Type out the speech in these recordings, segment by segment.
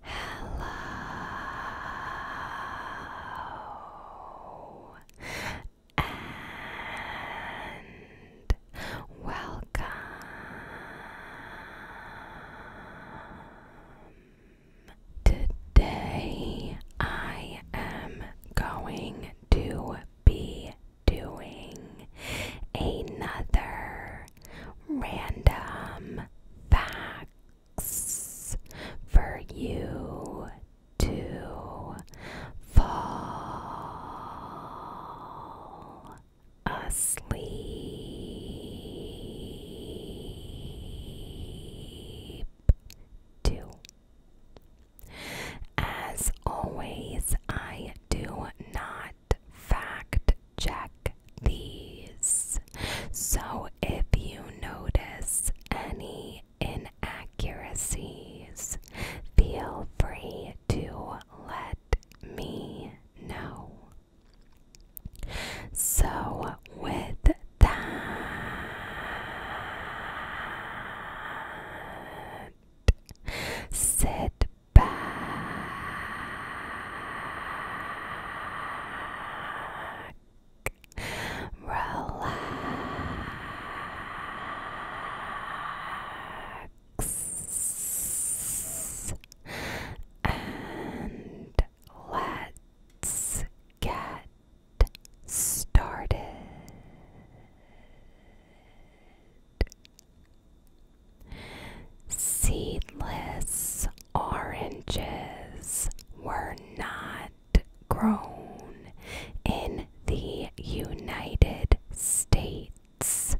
Hello and welcome. Today I am going to be doing another random facts for you to fall asleep to. As always, I do not fact check these. So if you notice any inaccuracies, feel free to let me know. So, with that, said back, relax, and let's get started. Seedless oranges were not grown in the United States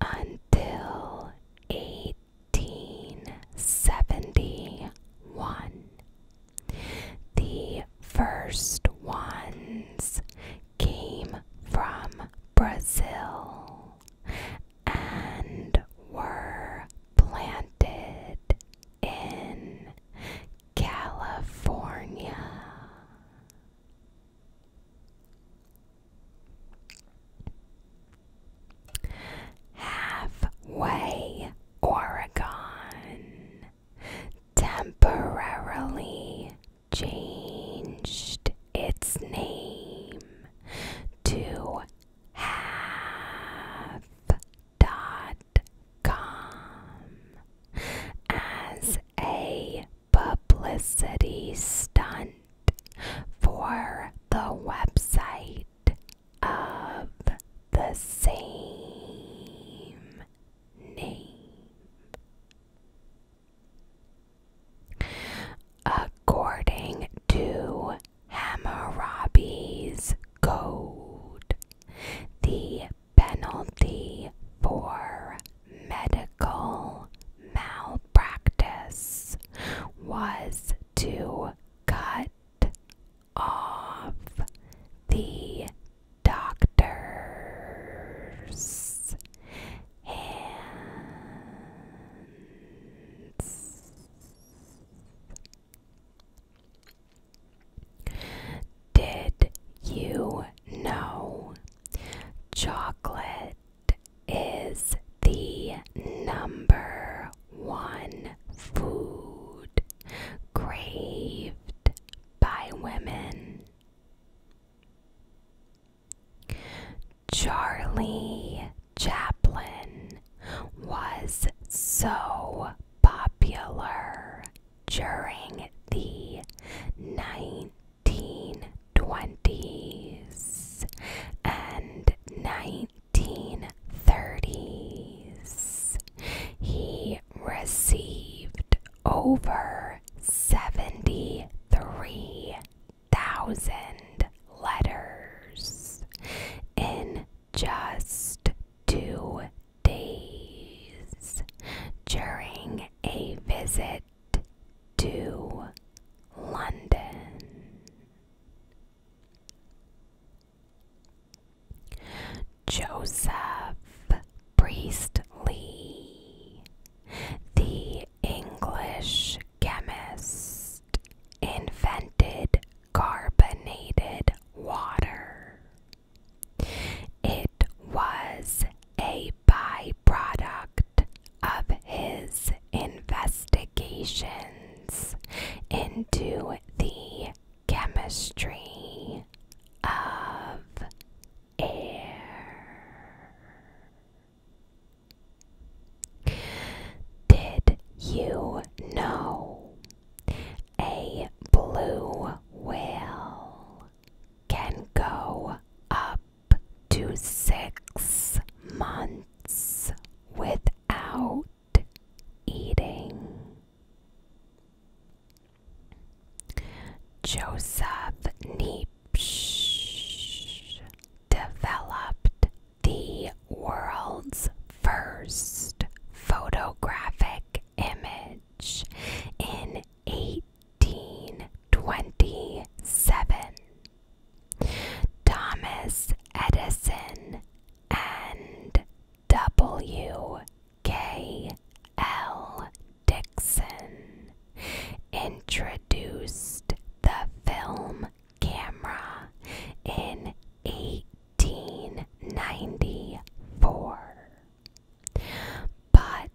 until 1871. The first ones came from Brazil and were planted in California. Halfway, Oregon temporarily changed its name to have dot com as a publicity stunt for the website of the same name. According to Hammurabi's Code, the penalty for medical malpractice was to cut off the doctor's did you know chocolate is the number one food craved by women? Charlie Chaplin was so popular during the 1920s and 1930s. He received over 73 thousand letters in just two days during a visit to London. Joseph Priestley the English chemist invented carbonated water. It was a byproduct of his investigations into the chemistry of air. Did you know a blue whale can go up to six months without eating? Joseph Niebuhr developed the world's first photographic image in 1827. Thomas Edison and W. K. L. Dixon introduced the film camera in 1894. But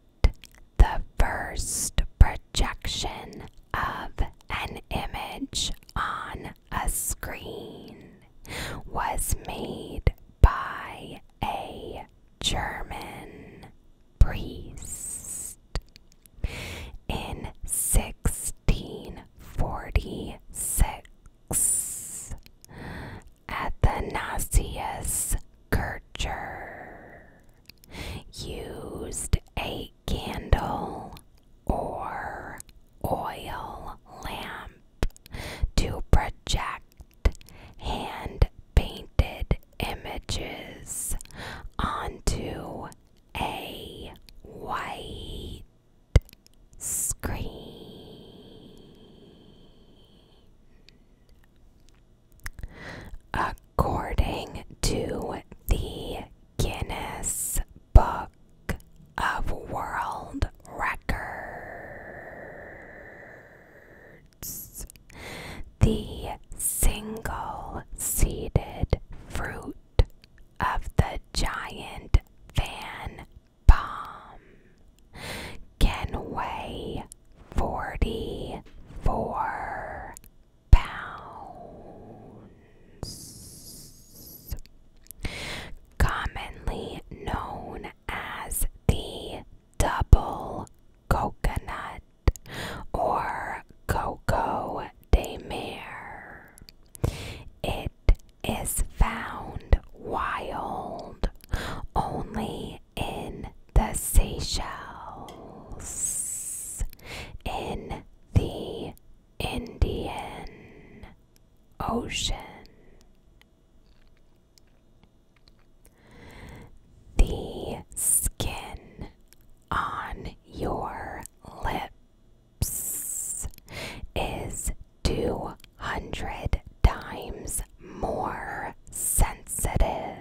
the first projection of an image on a screen was made by a German priest. In 1646, Athanasius Kircher used a candle or oil lamp to project hand painted images onto a white screen. According to the Guinness Book of World Records, the single seeded fruit of the giant fan palm can weigh 44 pounds. Commonly known as the double coconut or Coco de Mer. It is found wild only in the Seychelles, in the Indian Ocean. The skin on your lips is 200 times more sensitive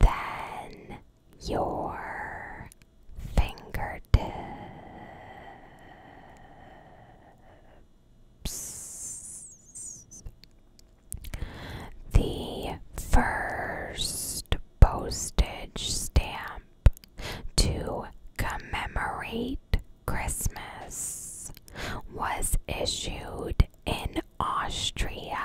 than your fingertips the first postage stamp to commemorate Christmas was issued in Austria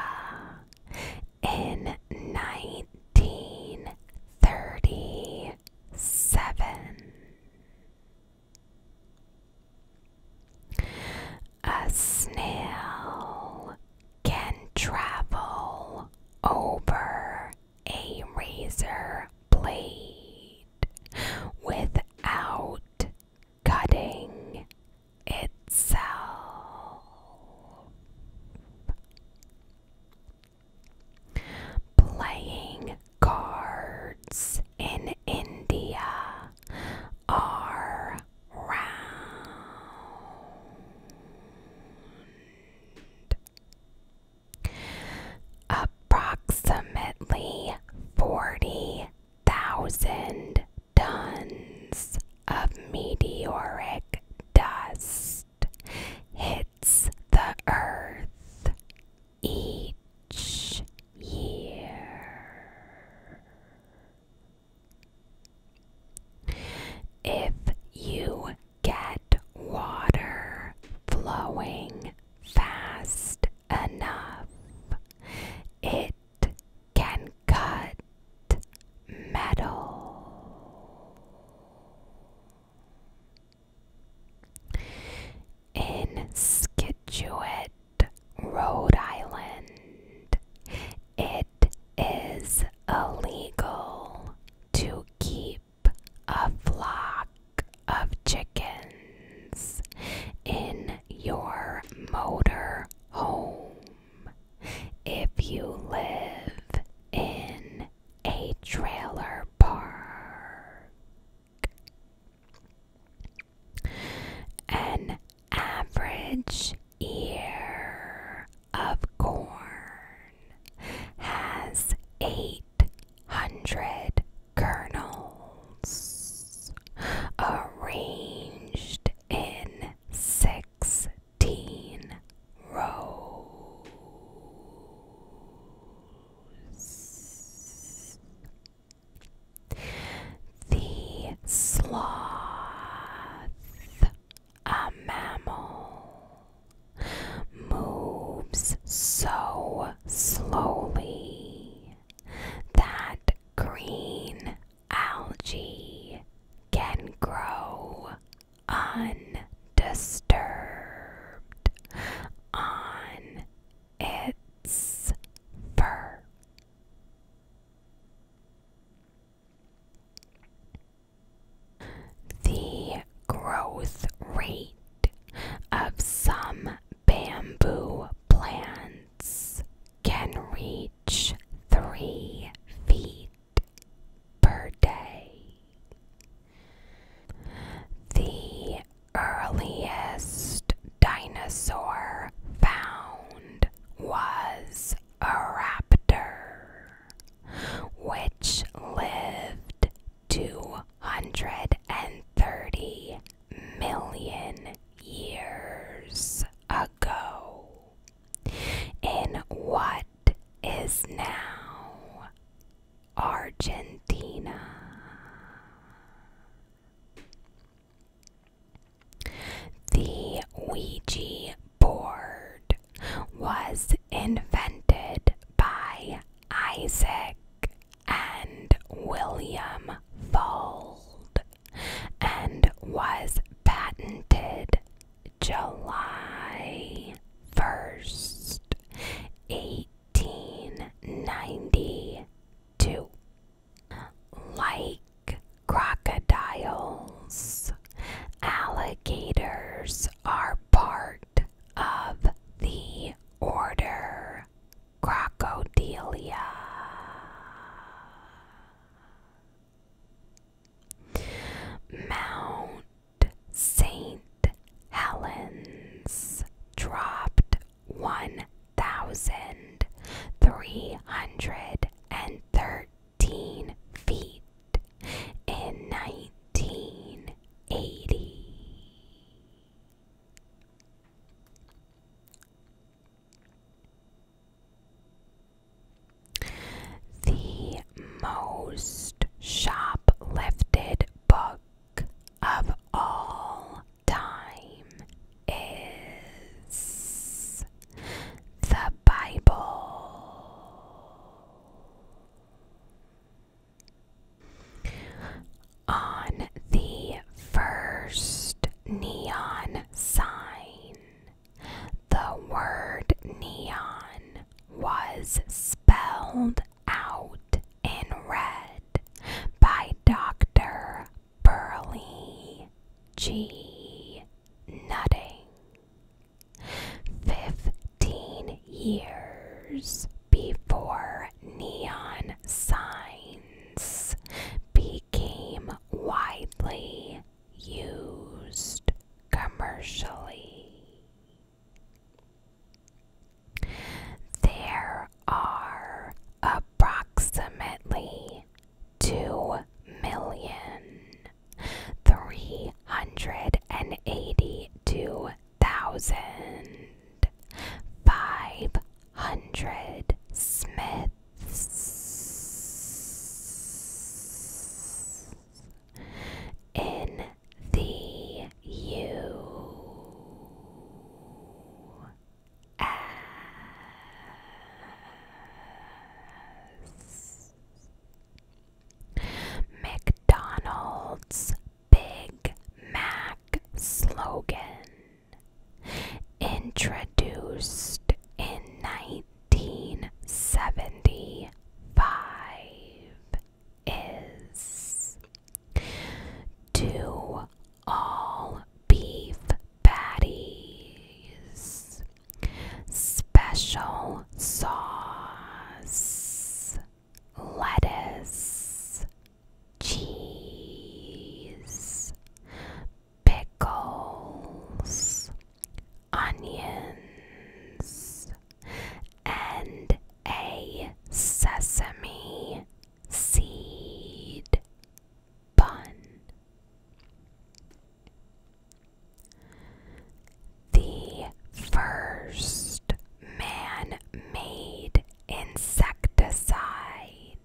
in 1937. A snail can travel over a razor blade without cutting itself. Playing cards in India are Approximately 40,000 tons of meteoric dust hits the earth each year. If you get water flowing fast enough, it can cut metal. In Scituate, Rhode Island, it is illegal to keep a flock of chickens in your motor home if you live in a trailer park average ear of corn has 800 kernels arranged in 16 rows. The sloth, a mammal, moves so slowly that green algae can grow undisturbed on its fur. The growth rate of some bamboo plants can reach 3 feet per day. The earliest dinosaur found was a raptor, which lived 230 million years ago in what is now Argentina. The Ouija board was invented by Isaac and William Fold and was patented July 1st, 1892. Like crocodiles, alligators are part of the order Crocodilia. Mount St. Helens dropped 1,300 and thirteen feet in 1980. The most shoplifted book of all time is the Bible. On the first neon sign, the word neon was spelled out in red by Dr. Burley G. Fifteen years before neon signs became widely used commercially. There are approximately two million three hundred and eighty two thousand five hundred Smiths in the U as McDonald's Big Mac slogan introduced in 1975 is to all beef patties, special sauce, lettuce, cheese, pickles, onions, and a sesame seed bun. The first man made insecticide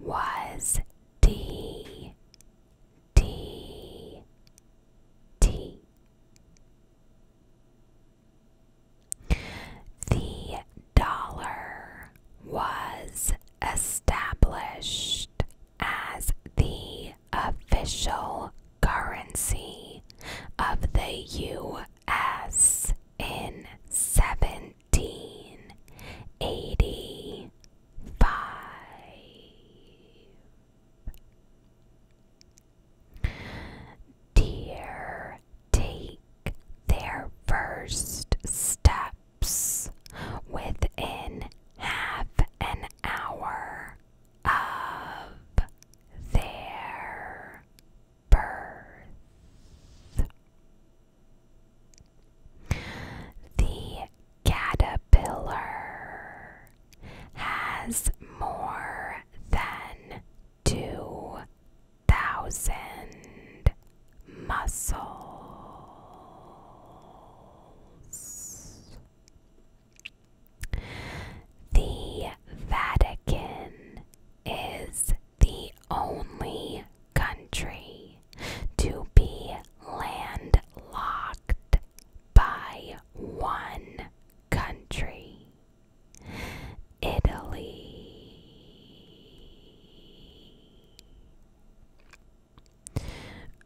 was D. D. D. The dollar was established as the official currency of the U.S. in 1785. Deer take their first step within half an hour of their birth. The caterpillar has more than two thousand muscles. The Vatican is the only country to be landlocked by one country Italy.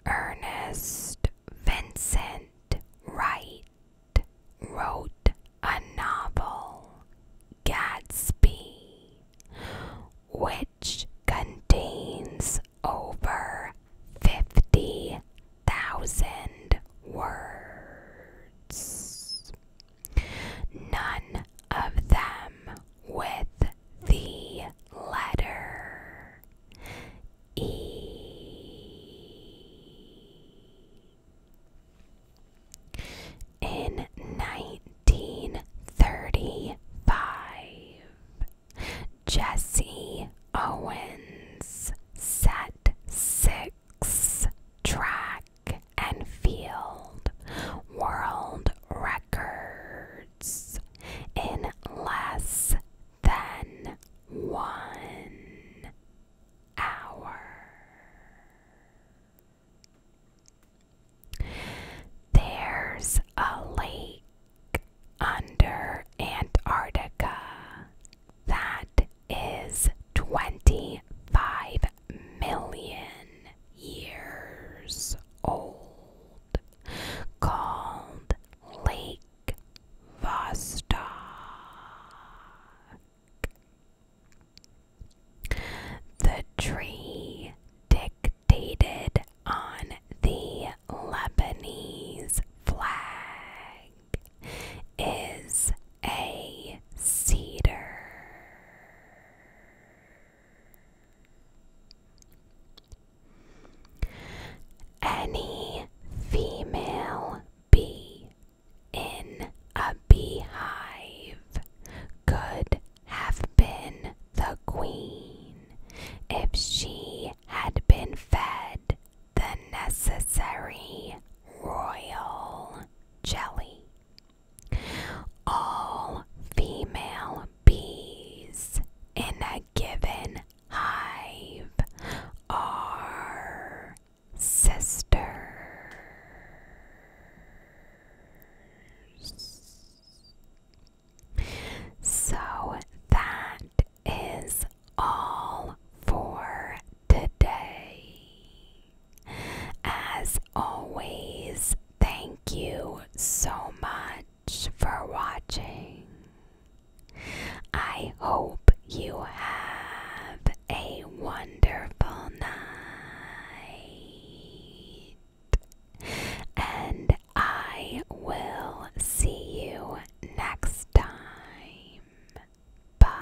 Ernest Vincent Wright wrote a novel, Gatsby, which contains over 50,000 words. None of them with the letter E. In 1935, Jesse Owens set six track and field world records in less than one hour. There's a lake under Antarctica that is 25 million years old called Lake Vostok. The tree dictated on the Lebanese flag is a cedar. Any female bee in a beehive could have been the queen if she had been fed the necessary royal jelly. All female bees in a given hive are sisters. So that is all for today. As always, Thank you so much for watching. I hope you have a wonderful night. And I will see you next time. Bye.